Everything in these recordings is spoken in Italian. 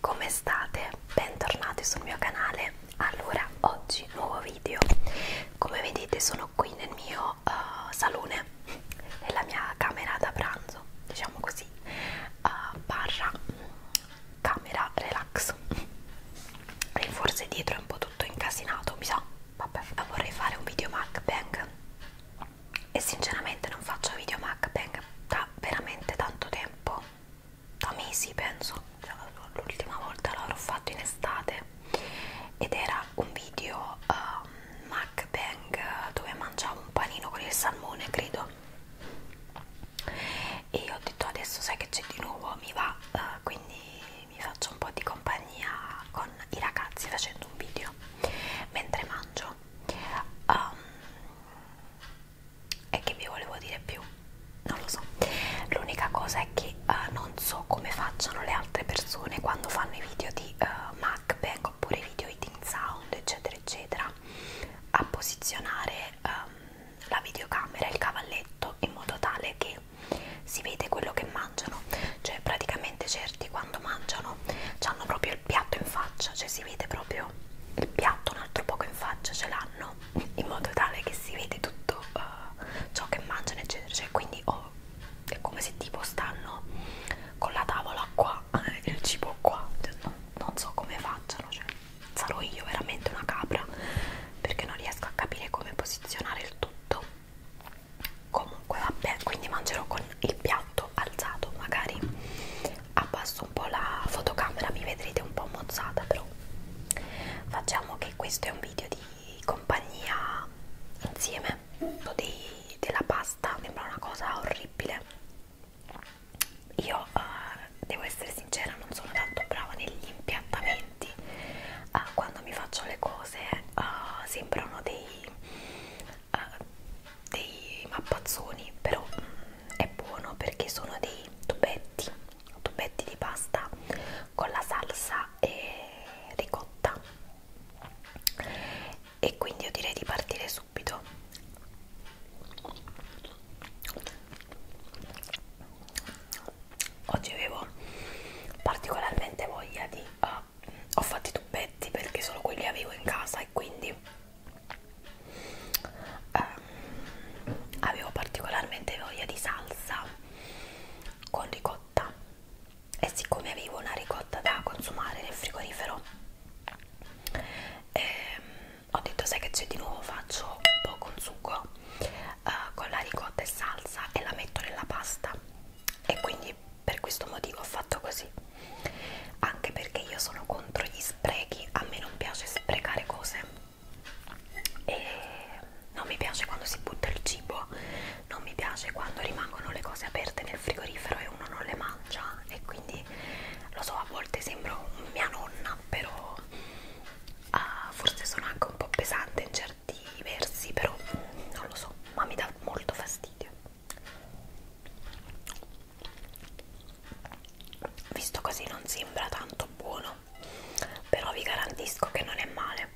Come state? Bentornati sul mio canale. Allora, oggi nuovo video. Come vedete sono qui nel mio uh, salone, nella mia camera da pranzo, diciamo così, uh, barra camera relax. E forse dietro è un po' tutto incasinato, mi sa. Vabbè, vorrei fare un video mukbang e sinceramente non faccio video mukbang da veramente tanto tempo da mesi penso cioè, l'ultima volta l'avrò fatto in estate ed era un video uh, mukbang dove mangiavo un panino con il salmone credo e io ho detto adesso sai che c'è di nuovo mi va uh, quindi mi faccio un po' di compagnia con i ragazzi facendo un video mentre mangio um, e che vi volevo dire più non lo so l'unica cosa è che uh, non so come facciano le altre persone quando fanno i video di uh, eh, mukbang oppure i video eating sound eccetera eccetera a posizionare um, la videocamera il cavalletto in modo tale che si vede quello che mangiano cioè praticamente certi quando mangiano hanno proprio il piatto in faccia cioè si vede proprio il piatto un altro poco in faccia ce l'hanno in modo tale che si vede tutto uh, ciò che mangiano eccetera cioè, quindi oh, è come se tipo stanno con la tavola qua eh, il cibo qua cioè, no, non so come facciano cioè, sarò io veramente una capra perché non riesco a capire come posizionare il tutto comunque vabbè quindi mangerò con il piatto tutto alzato magari abbasso un po' la fotocamera mi vedrete un po' mozzata però facciamo che questo è un video di compagnia insieme di, della pasta sembra una cosa orribile io uh, devo essere sincera non sono tanto brava negli impiattamenti uh, eh, quando mi faccio le cose uh, eh, sembrano dei uh, dei mappazzoni però mh, mm, è buono perché sono dei tubetti tubetti di pasta con la salsa e ricotta e quindi io direi di partire subito oggi avevo particolarmente voglia di uh, ho fatto i tubetti perché solo quelli avevo in casa e quindi um, avevo particolarmente voglia di salsa con ricotta e siccome avevo una ricotta da consumare nel frigorifero ehm, ho detto sai che c'è di nuovo faccio un po' con sugo eh, con la ricotta e salsa e la metto nella pasta e quindi per questo motivo ho fatto così anche perché io sono contro gli sprechi a me non piace sprecare cose e non mi piace quando si butta il cibo non mi piace quando rimangono le cose aperte nel frigorifero e uno non le mangia e quindi lo so a volte sembro mia nonna però uh, forse sono anche un po' pesante in certi versi però non lo so ma mi dà molto fastidio visto così non sembra tanto buono però vi garantisco che non è male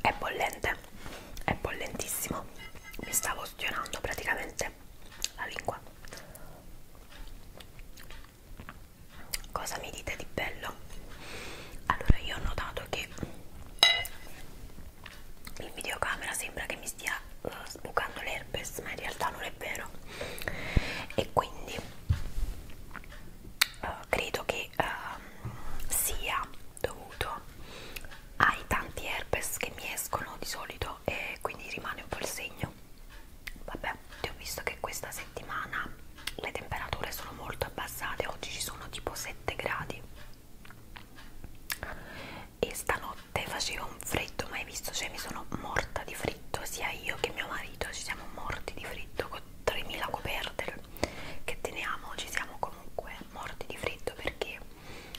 è bollente è bollentissimo mi stavo ustionando praticamente la lingua cosa mi dite di bello? Allora io ho notato che in videocamera sembra che mi stia uh, sbucando l'herpes ma in realtà non è vero e quindi uh, credo che uh, sia dovuto ai tanti herpes che mi escono di solito e quindi rimane un po' il segno vabbè ti ho visto che questa settimana le temperature sono molto abbassate oggi ci sono tipo 7 gradi e stanotte faceva un freddo mai visto cioè mi sono morta di freddo sia io che mio marito ci siamo morti di freddo con 3000 coperte che teniamo ci siamo comunque morti di freddo perché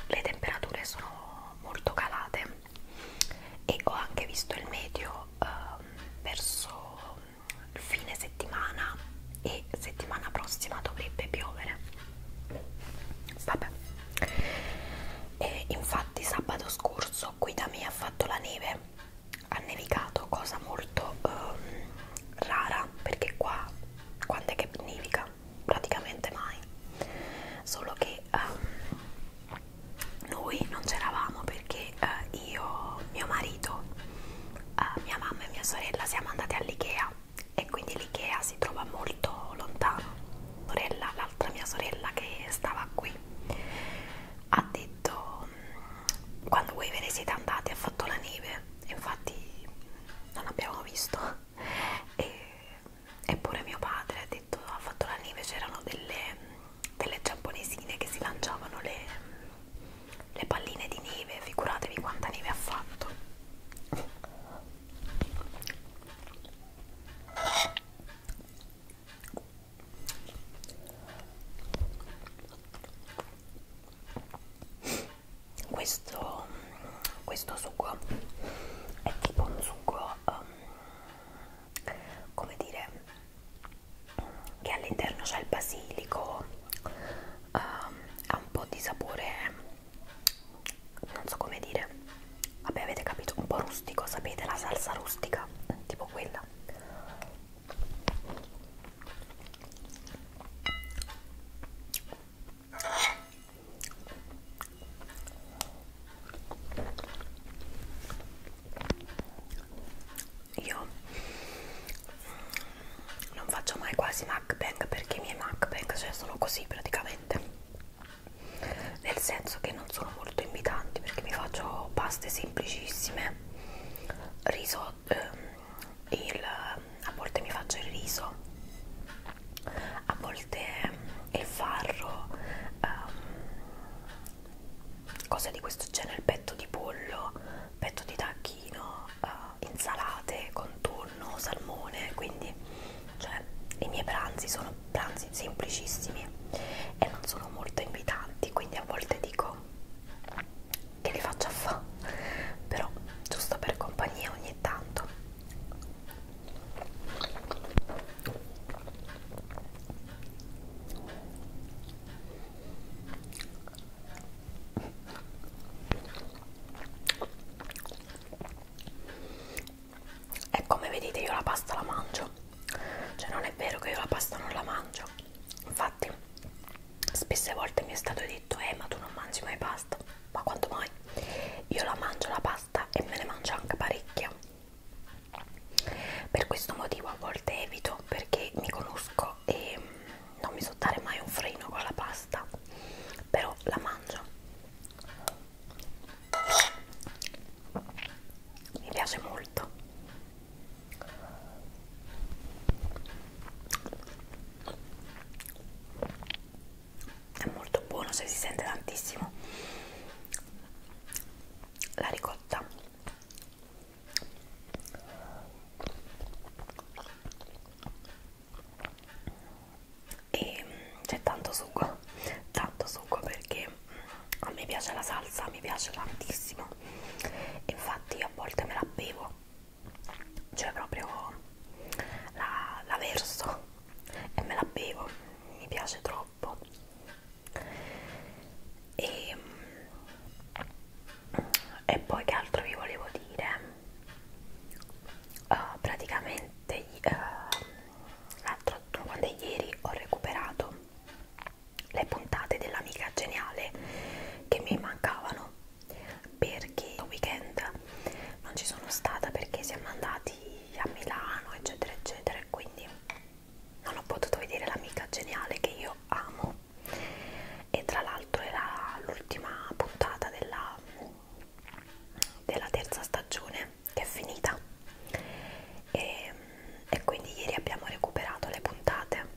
le temperature sono molto calate e ho anche visto il medio um, verso fine settimana e settimana prossima dovrebbe piovere vabbè e infatti sabato scorso qui da me ha fatto la neve ha nevicato cosa molto um, rara perché qua quando è che nevica praticamente mai solo che um, noi non c'eravamo perché eh, io, mio marito, eh, mia mamma e mia sorella siamo andate all'Ikea e quindi l'Ikea si trova molto lontano. L'altra mia sorella che stava qui ha detto mm, quando voi ve ne siete andati ha fatto la neve, infatti non abbiamo visto e eppure mio padre ha detto ha fatto la neve c'erano delle, delle giapponesine che si lanciavano le, le palline di neve figuratevi quanta neve ha fatto questo, questo sugo è tipo un sugo um, come dire che all'interno c'è il basilico um, ha un po' di sapore non so come dire vabbè avete capito un po' rustico sapete la salsa rustica tipo quella io non faccio mai quasi mukbang perché i miei mukbang cioè sono così praticamente. Nel senso che non sono molto invitanti perché mi faccio paste semplicissime, riso, ehm, il, a volte mi faccio il riso a volte il farro um, cose di questo genere petto di pollo petto di tacchino uh, insalate con tonno salmone quindi cioè i miei pranzi sono pranzi semplicissimi e non sono molto invitanti quindi a volte dico che li faccio a fa però giusto per compagnia ogni tanto e come vedete io la pasta la mangio, cioè non è vero che io la pasta non la mangio, infatti spesse volte mi è stato detto eh ma tu non mangi mai pasta, ma quanto mai? Io la mangio la pasta pasta e me ne mangio anche parecchia per questo motivo a volte evito perché mi conosco e mm, non mi so dare mai un freno con la pasta però la mangio mi piace molto è molto buono se si sente tantissimo la ricotta e mm, c'è tanto sugo tanto sugo perché mm, a me piace la salsa mi piace tantissimo infatti a volte me la bevo cioè proprio la, la verso e me la bevo, mi piace troppo e, e poi che altro vi volevo dire uh, praticamente uh, l'altro quando ieri ho recuperato le puntate dell'amica geniale che mi mancavano perché il weekend non ci sono stata perché siamo andati Parigi, a Milano, eccetera, eccetera. E quindi non ho potuto vedere l'amica geniale che io amo. E tra l'altro era l'ultima puntata della, della terza stagione che è finita. E, e quindi ieri abbiamo recuperato le puntate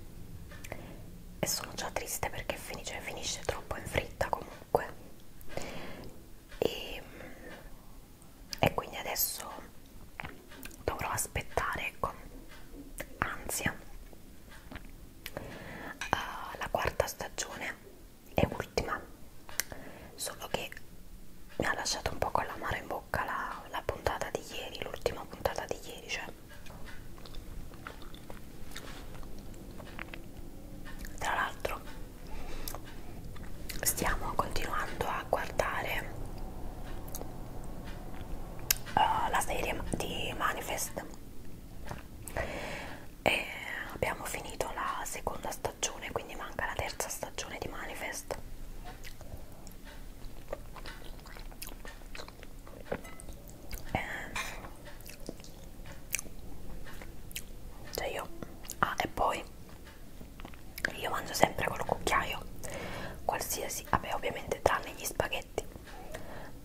e sono già triste perché finisce, finisce troppo in fretta comunque ovunque e, e quindi adesso dovrò aspettare con ansia uh, la quarta stagione e ultima solo che mi ha lasciato un po' con l'amaro in bocca la, la puntata di ieri l'ultima puntata di ieri cioè tra l'altro stiamo continuando a guardare uh, la serie di Manifest e abbiamo finito la seconda stagione quindi manca la terza stagione di Manifest eh, cioè io ah e poi io mangio sempre col cucchiaio qualsiasi vabbè ovviamente tranne gli spaghetti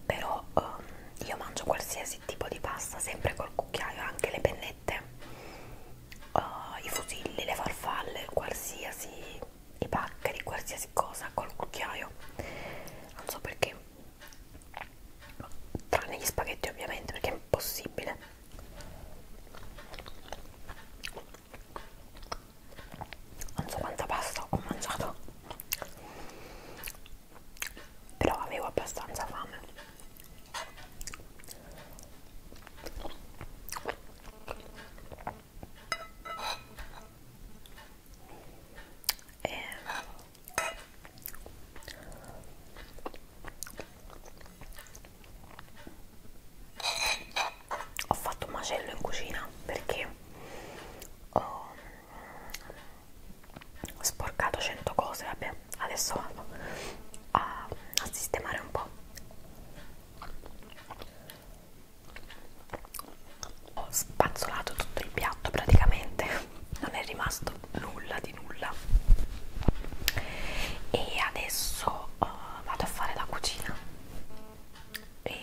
però um, io mangio qualsiasi tipo di pasta sempre col cucchiaio anche le pennette uh, i fusilli le farfalle qualsiasi i paccheri qualsiasi cosa col cucchiaio non so perché tranne gli spaghetti ovviamente perché è impossibile non so quanta pasta ho mangiato però avevo abbastanza fame e ho fatto un macello in cucina perché ho sporcato 100 cose vabbè adesso vado a, a sistemare un po' ho spazzolato tutto il piatto praticamente non è rimasto nulla di nulla e adesso uh, vado a fare la cucina e,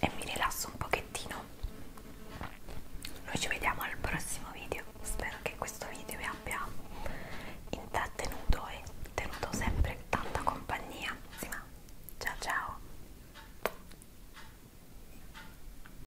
e mi rilasso un pochettino noi ci vediamo al prossimo video spero che questo video vi abbia intrattenuto e tenuto sempre tanta compagnia sì, ma ciao ciao